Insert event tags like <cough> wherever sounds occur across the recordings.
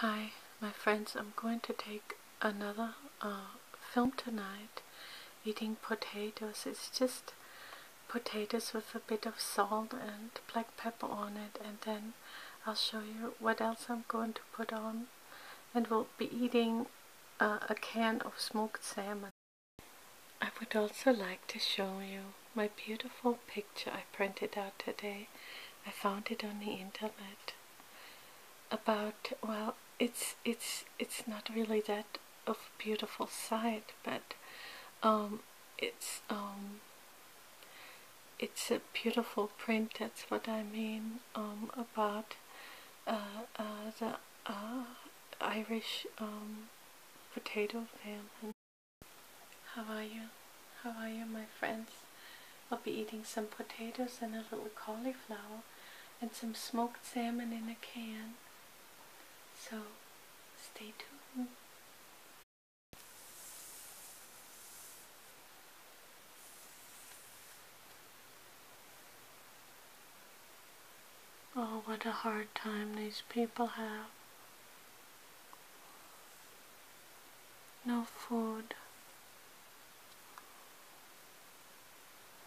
Hi, my friends. I'm going to take another uh, film tonight. Eating potatoes. It's just potatoes with a bit of salt and black pepper on it. And then I'll show you what else I'm going to put on. And we'll be eating uh, a can of smoked salmon. I would also like to show you my beautiful picture I printed out today. I found it on the internet. About well, it's it's it's not really that of beautiful sight, but um, it's um, it's a beautiful print. That's what I mean um, about uh, uh, the uh, Irish um potato famine. How are you? How are you my friends? I'll be eating some potatoes and a little cauliflower and some smoked salmon in a can. So stay tuned. Oh, what a hard time these people have no food,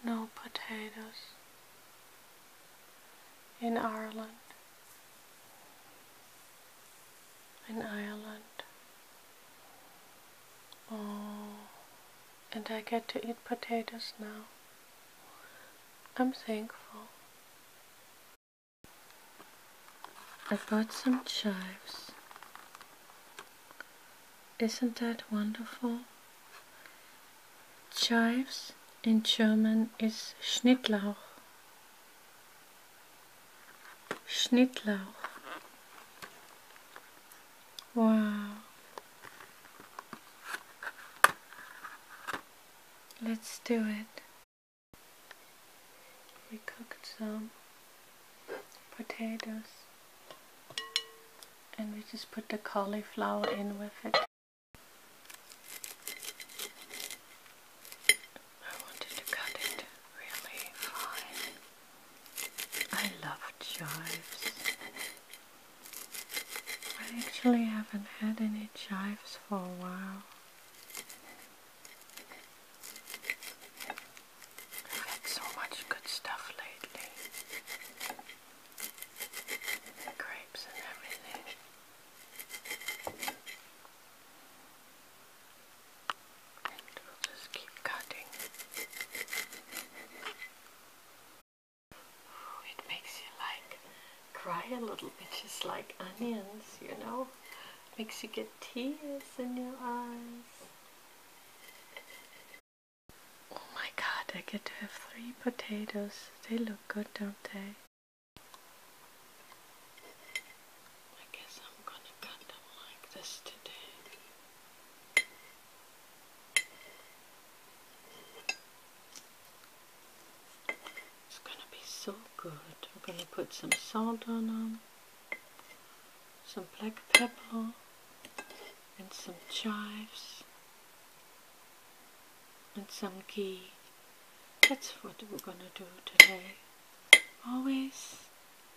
no potatoes in Ireland, in Ireland. Oh, and I get to eat potatoes now. I'm thankful. I bought some chives. Isn't that wonderful? Chives in German is Schnittlauch. Schnittlauch. Wow. Let's do it. We cooked some potatoes and we just put the cauliflower in with it. I wanted to cut it really fine. I love chives. I actually haven't had any chives for a while. I've had so much good stuff lately. Grapes and everything. And we'll just keep cutting. Oh, it makes you like cry a little bit, just like onions, you know. Makes you get tears in your eyes. Oh my god, I get to have three potatoes. They look good, don't they? I guess I'm gonna cut them like this today. It's going to be so good. We're going to put some salt on them, some black pepper, and some chives, and some ghee. That's what we're going to do today. Always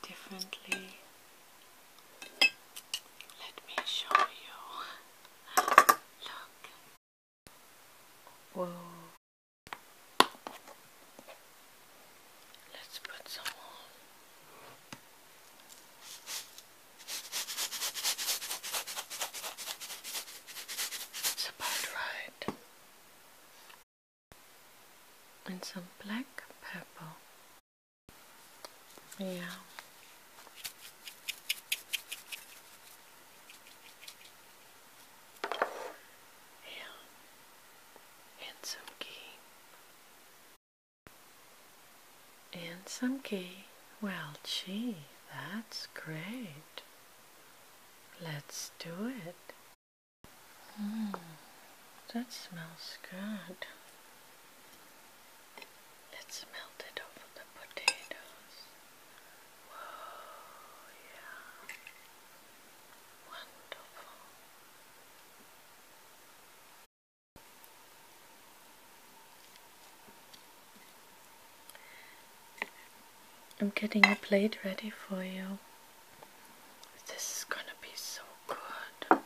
differently. Let me show you. Look. Let's put some on. It's about right. And some black pepper. Yeah and and some ghee and Well, gee, that's great. Let's do it. Mm, that smells good. Let's melt it over the potatoes. Whoa, yeah. Wonderful. I'm getting a plate ready for you. This is gonna be so good.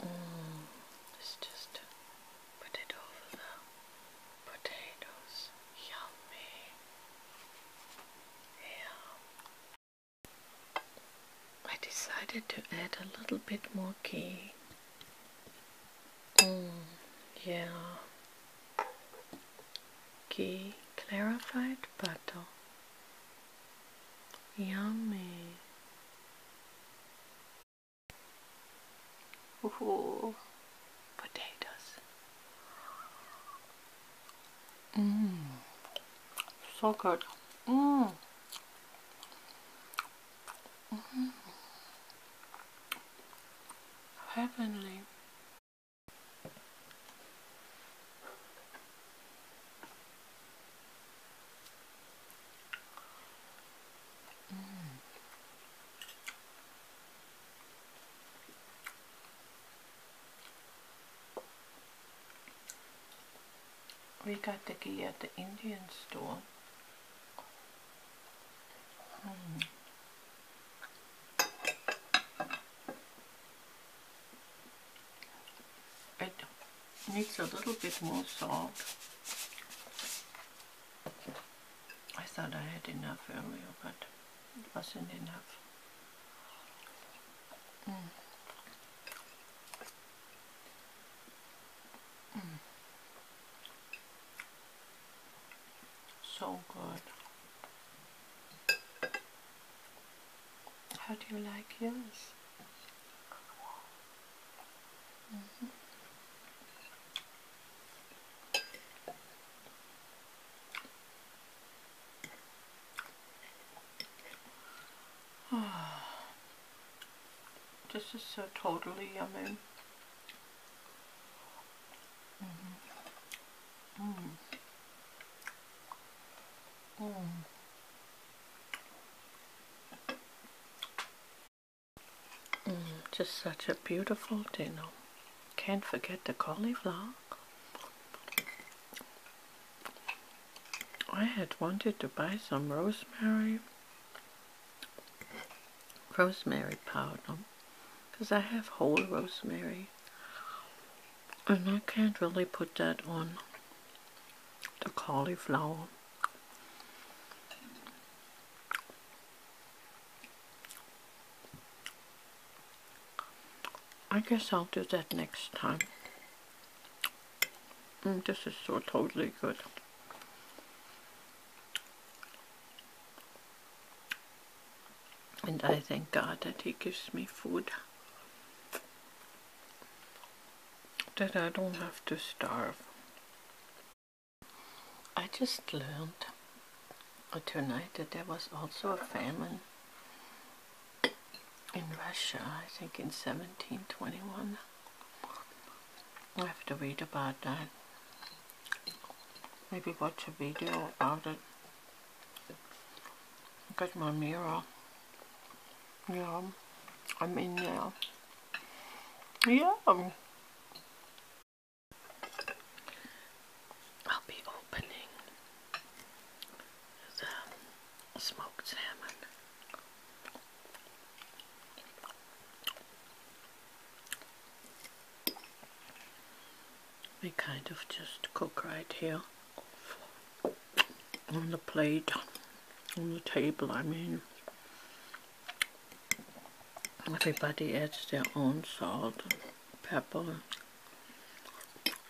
Mm, it's just Put potatoes. Yummy. Yeah. I decided to add a little bit more ghee. Mm, yeah. Ghee clarified butter. Yummy. Ooh, potatoes. Mmm, so good. Mmm. Heavenly. We got the ghee at the Indian store. Hmm. It needs a little bit more salt. I thought I had enough earlier, but it wasn't enough. Mm. Mm. So good. How do you like yours? Mm-hmm. <sighs> this is so totally yummy. Mm-hmm. Mm. Mm. Mm, just such a beautiful dinner. Can't forget the cauliflower. I had wanted to buy some rosemary, rosemary powder, because I have whole rosemary, and I can't really put that on the cauliflower. I guess I'll do that next time. Mm, this is so totally good. And I thank God that He gives me food that I don't have to starve. I just learned uh, tonight that there was also a famine in Russia, I think in 1721. I have to read about that. Maybe watch a video about it. Got my mirror. Yeah, I'm in now. Yeah. I'll be opening the smoked salmon. They kind of just cook right here on the plate on the table I mean everybody adds their own salt pepper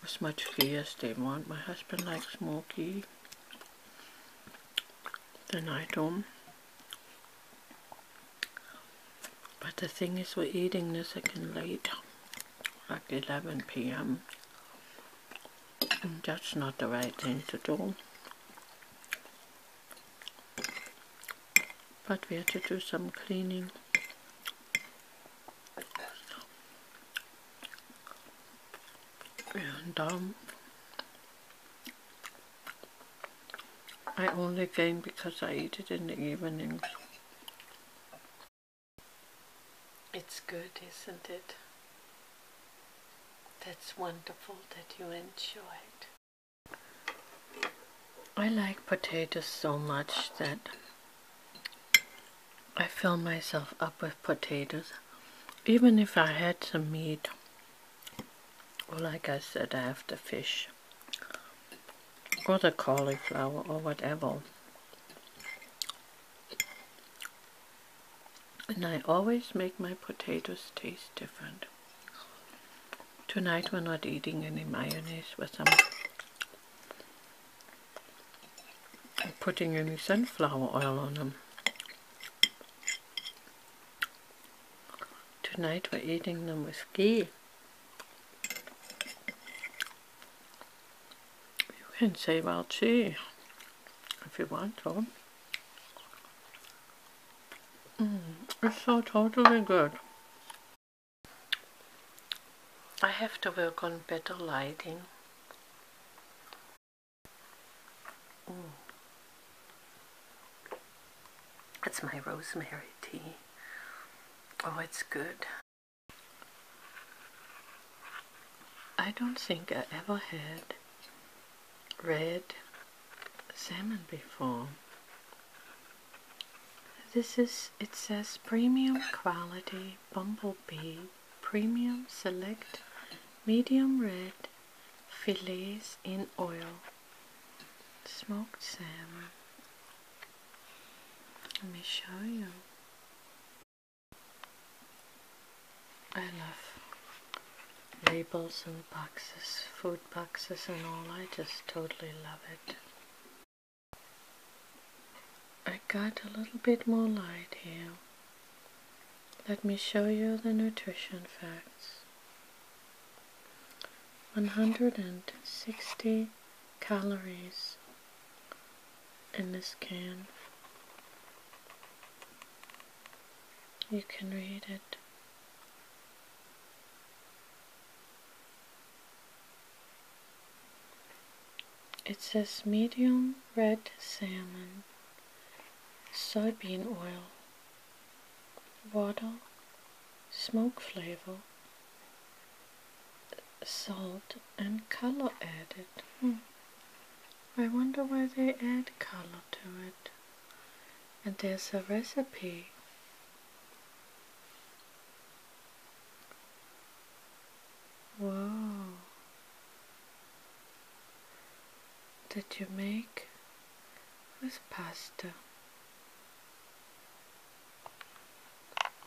as much ghee as they want my husband likes more ghee than I do but the thing is we're eating this again late like 11 p.m. That's not the right thing to do. But we have to do some cleaning. And um, I only gain because I eat it in the evenings. It's good, isn't it? That's wonderful that you enjoyed. I like potatoes so much that I fill myself up with potatoes. Even if I had some meat, or like I said, I have the fish, or the cauliflower, or whatever, and I always make my potatoes taste different. Tonight we're not eating any mayonnaise with them. I'm putting any sunflower oil on them. Tonight we're eating them with ghee. You can say well too if you want to. Mm, it's so totally good. I have to work on better lighting. That's mm. my rosemary tea. Oh, it's good. I don't think I ever had red salmon before. This is, it says premium quality bumblebee, premium select, medium red, fillets in oil, smoked salmon. Let me show you. I love labels and boxes, food boxes and all. I just totally love it. I got a little bit more light here. Let me show you the nutrition facts. 160 calories in this can. You can read it. It says medium red salmon, soybean oil, water, smoke flavor, salt and color added. Hmm. I wonder why they add color to it. And there's a recipe. Whoa. That you make with pasta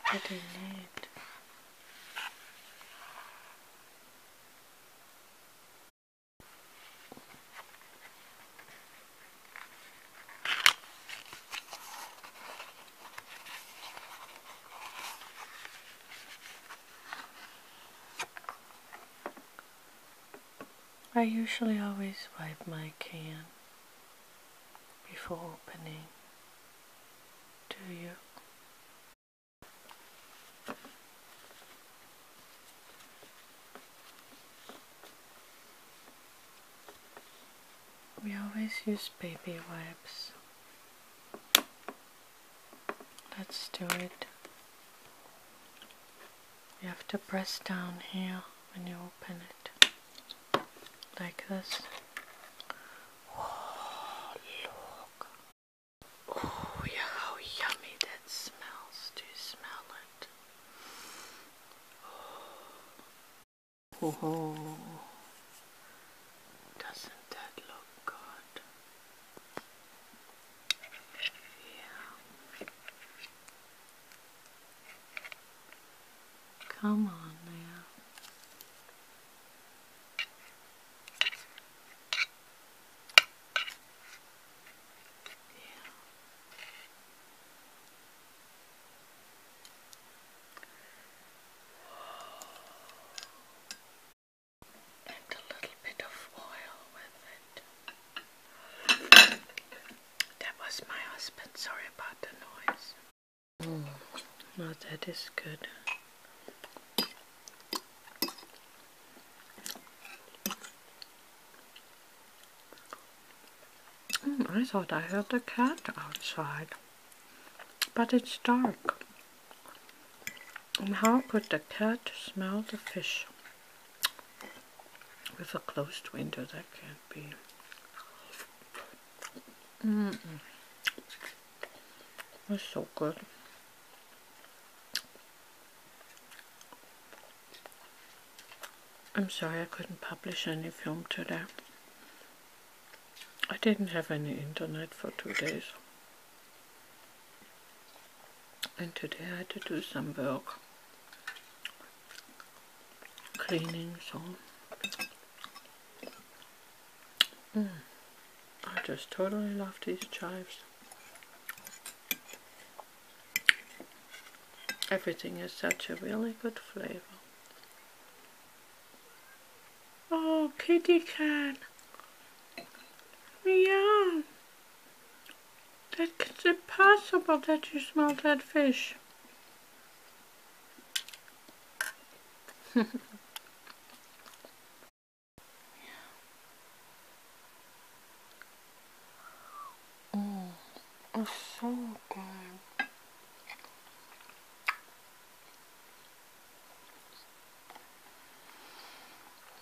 pretty late. I usually always wipe my can before opening do you. We always use baby wipes. Let's do it. You have to press down here when you open it like this. Oh, look. Oh, yeah, how yummy that smells. Do smell it? oh. Doesn't that look good? Yeah. Come on now. Yeah. And a little bit of oil with it. That was my husband. Sorry about the noise. Oh, now that is good. Hmm, I thought I heard a cat outside, but it's dark. how could the cat smell the fish? With a closed window, that can't be. Mm -mm. so good. I'm sorry I couldn't publish any film today. I didn't have any internet for two days. And today I had to do some work. Cleaning, so Mm. I just totally love these chives. Everything is such a really good flavor. Oh, kitty cat. Meow. That's impossible that you smell that fish yeah. Oh, it's so good.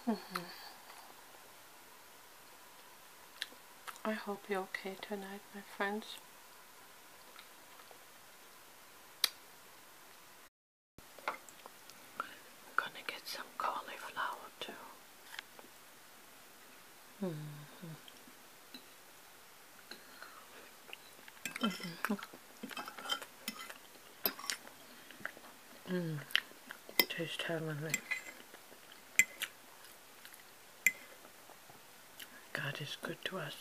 Mm-hmm. I hope you're okay tonight, my friends. I'm gonna get some cauliflower too. Mm-hmm. Mm-hmm. Mm -hmm. -hmm. Tastes heavenly. God is good to us.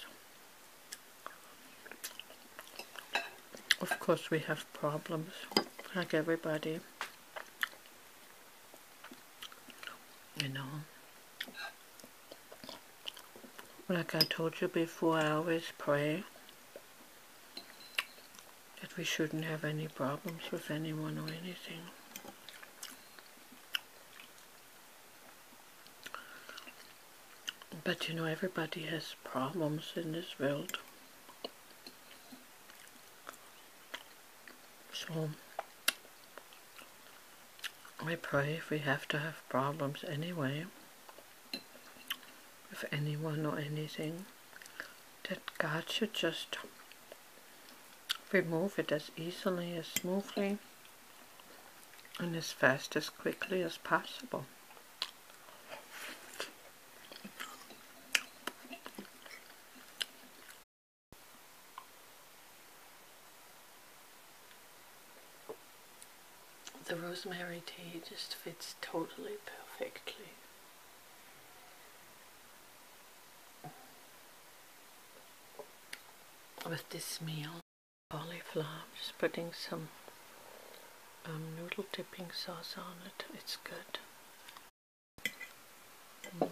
Of course we have problems, like everybody. You know. Like I told you before, I always pray that we shouldn't have any problems with anyone or anything. But you know, everybody has problems in this world. So, I pray if we have to have problems anyway, with anyone or anything, that God should just remove it as easily, as smoothly, and as fast as quickly as possible. The rosemary tea just fits totally perfectly with this meal. Cauliflower, just putting some um, noodle dipping sauce on it. It's good. Mm,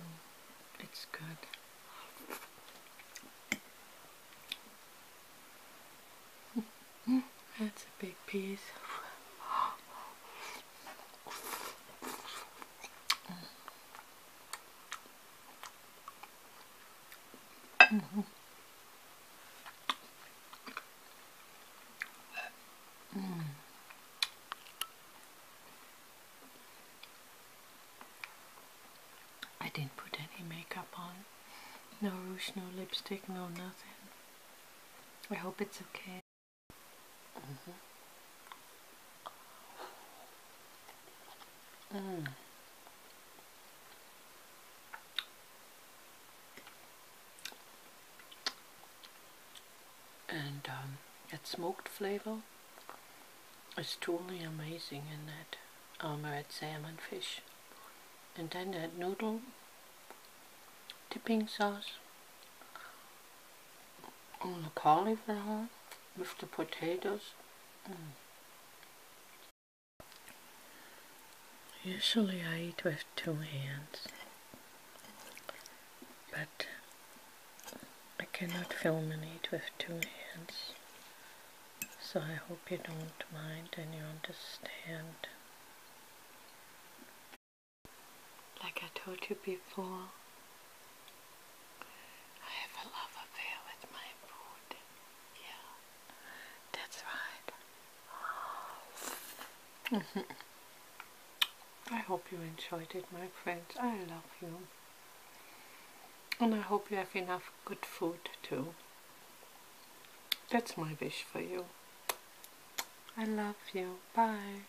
it's good. <laughs> That's a big piece. I didn't put any makeup on. No rouge, no lipstick, no nothing. I hope it's okay. Mm-hmm. Mm. And um, that smoked flavor is truly amazing in that um, red salmon fish. And then that noodle dipping sauce on oh, the cauliflower with the potatoes. Mm. Usually I eat with two hands, but I cannot film and eat with two hands, so I hope you don't mind and you understand. Like I told you before, I have a love affair with my food. Yeah, that's right. -hmm. <laughs> I hope you enjoyed it, my friends. I love you. And I hope you have enough good food too. That's my wish for you. I love you. Bye.